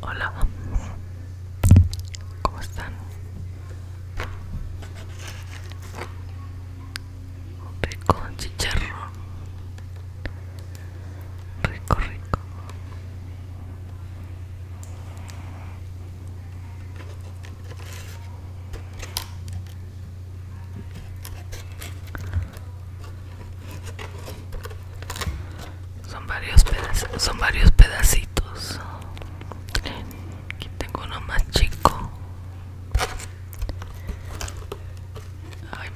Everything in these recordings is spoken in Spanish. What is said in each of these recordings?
Hola, ¿cómo están? Rico chicharro rico, rico. Son varios pedacitos, son varios pedacitos. Aquí tengo uno más chico.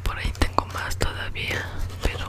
por ahí tengo más todavía, pero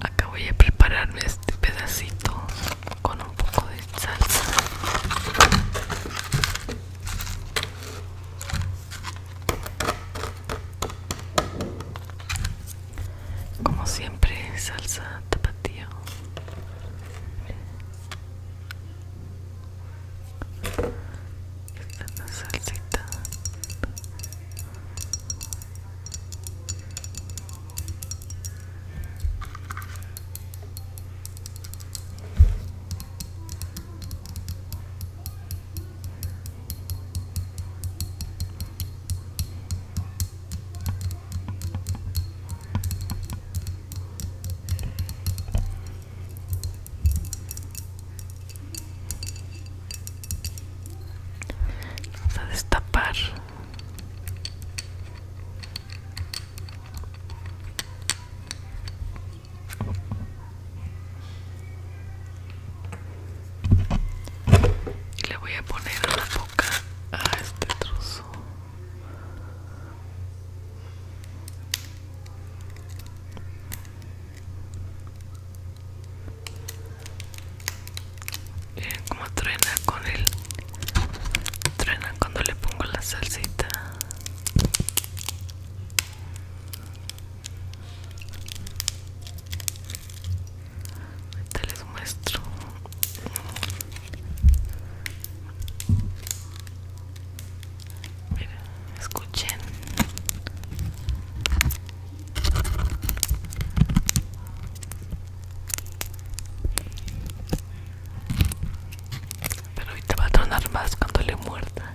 Acá voy a prepararme este pedacito con un poco de salsa. Como siempre, salsa tapatío. Esta es la salsita. Vamos a destapar. Y le voy a poner la boca a este trozo. Miren como truena con el truena cuando le pongo la salsita. Ahorita les muestro. Mira, escuchen. Pero ahorita va a tronar más cuando le muerda.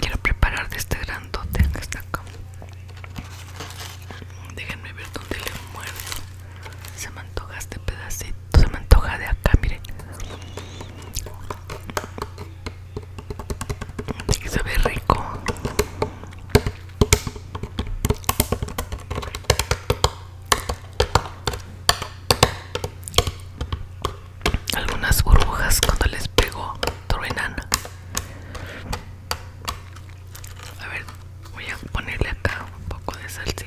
Quiero preparar de este grandote que está acá. Déjenme ver dónde le muerdo. Se me antoja este pedacito. Se me antoja de acá, mire se sabe rico. Algunas burbujas cuando les pego truenan. A ver, voy a ponerle acá un poco de salsita.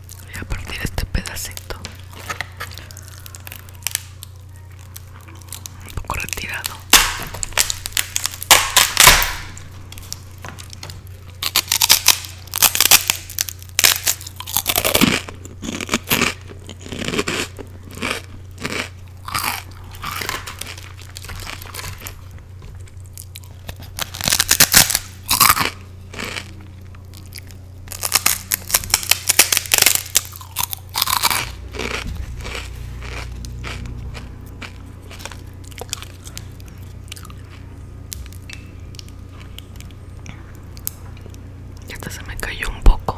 Voy a partir este pedacito un poco retirado esta se me cayó un poco.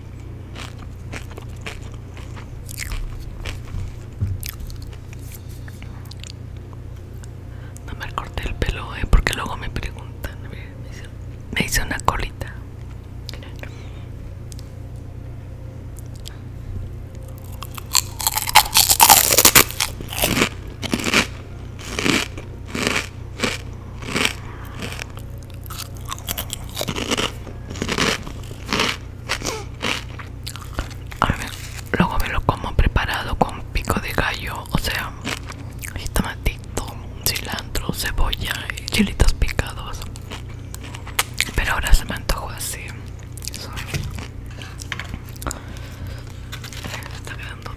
No me corté el pelo, eh, porque luego me preguntan. Me me hice una colita luego me lo como preparado con pico de gallo, o sea, tomatito, cilantro, cebolla y chilitos picados. Pero ahora se me antojo así. Está quedando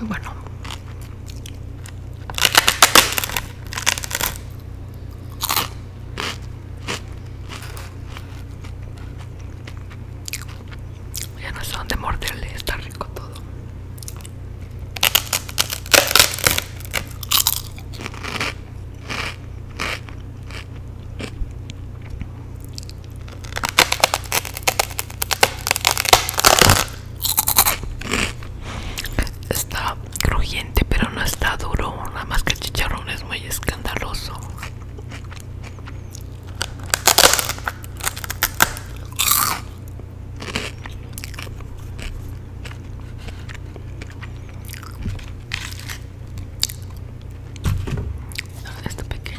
muy bueno ya no sé dónde morderle, está rico todo Está crujiente, pero no está duro. Nada más que el chicharrón es muy escandaloso. Este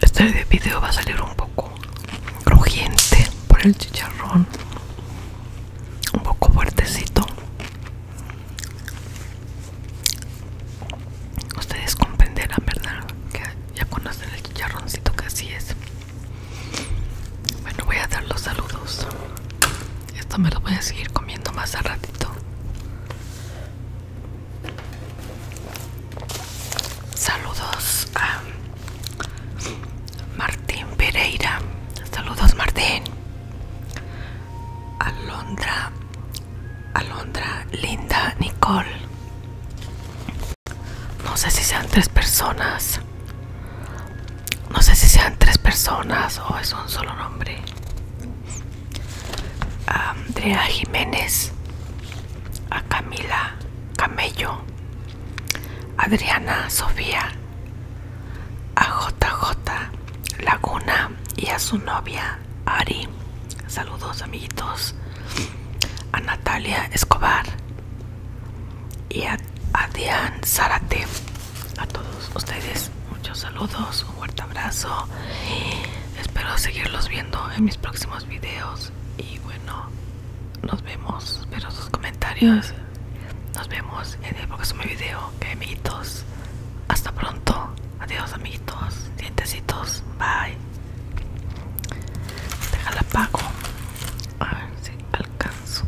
Este video va a salir un poco crujiente por el chicharrón, un poco fuertecito. Ustedes comprenderán, ¿verdad? Que ya conocen el chicharroncito que así es. Bueno, voy a dar los saludos. Esto me lo voy a seguir comiendo más a ratito. Saludos a Martín Pereira. Saludos Martín. Alondra. Alondra, Linda, Nicole. No sé si sean tres personas. No sé si sean tres personas o es un solo nombre a Andrea Jiménez, a Camila Camello, Adriana Sofía, a JJ Laguna y a su novia Ari. Saludos amiguitos. A Natalia Escobar y a, a Diane a todos ustedes muchos saludos, un fuerte abrazo. Espero seguirlos viendo en mis próximos videos. Y bueno, nos vemos. Espero sus comentarios. Nos vemos en el próximo video. amiguitos. Hasta pronto. Adiós, amiguitos. Dientecitos. Bye. Déjala apago. A ver si alcanzo.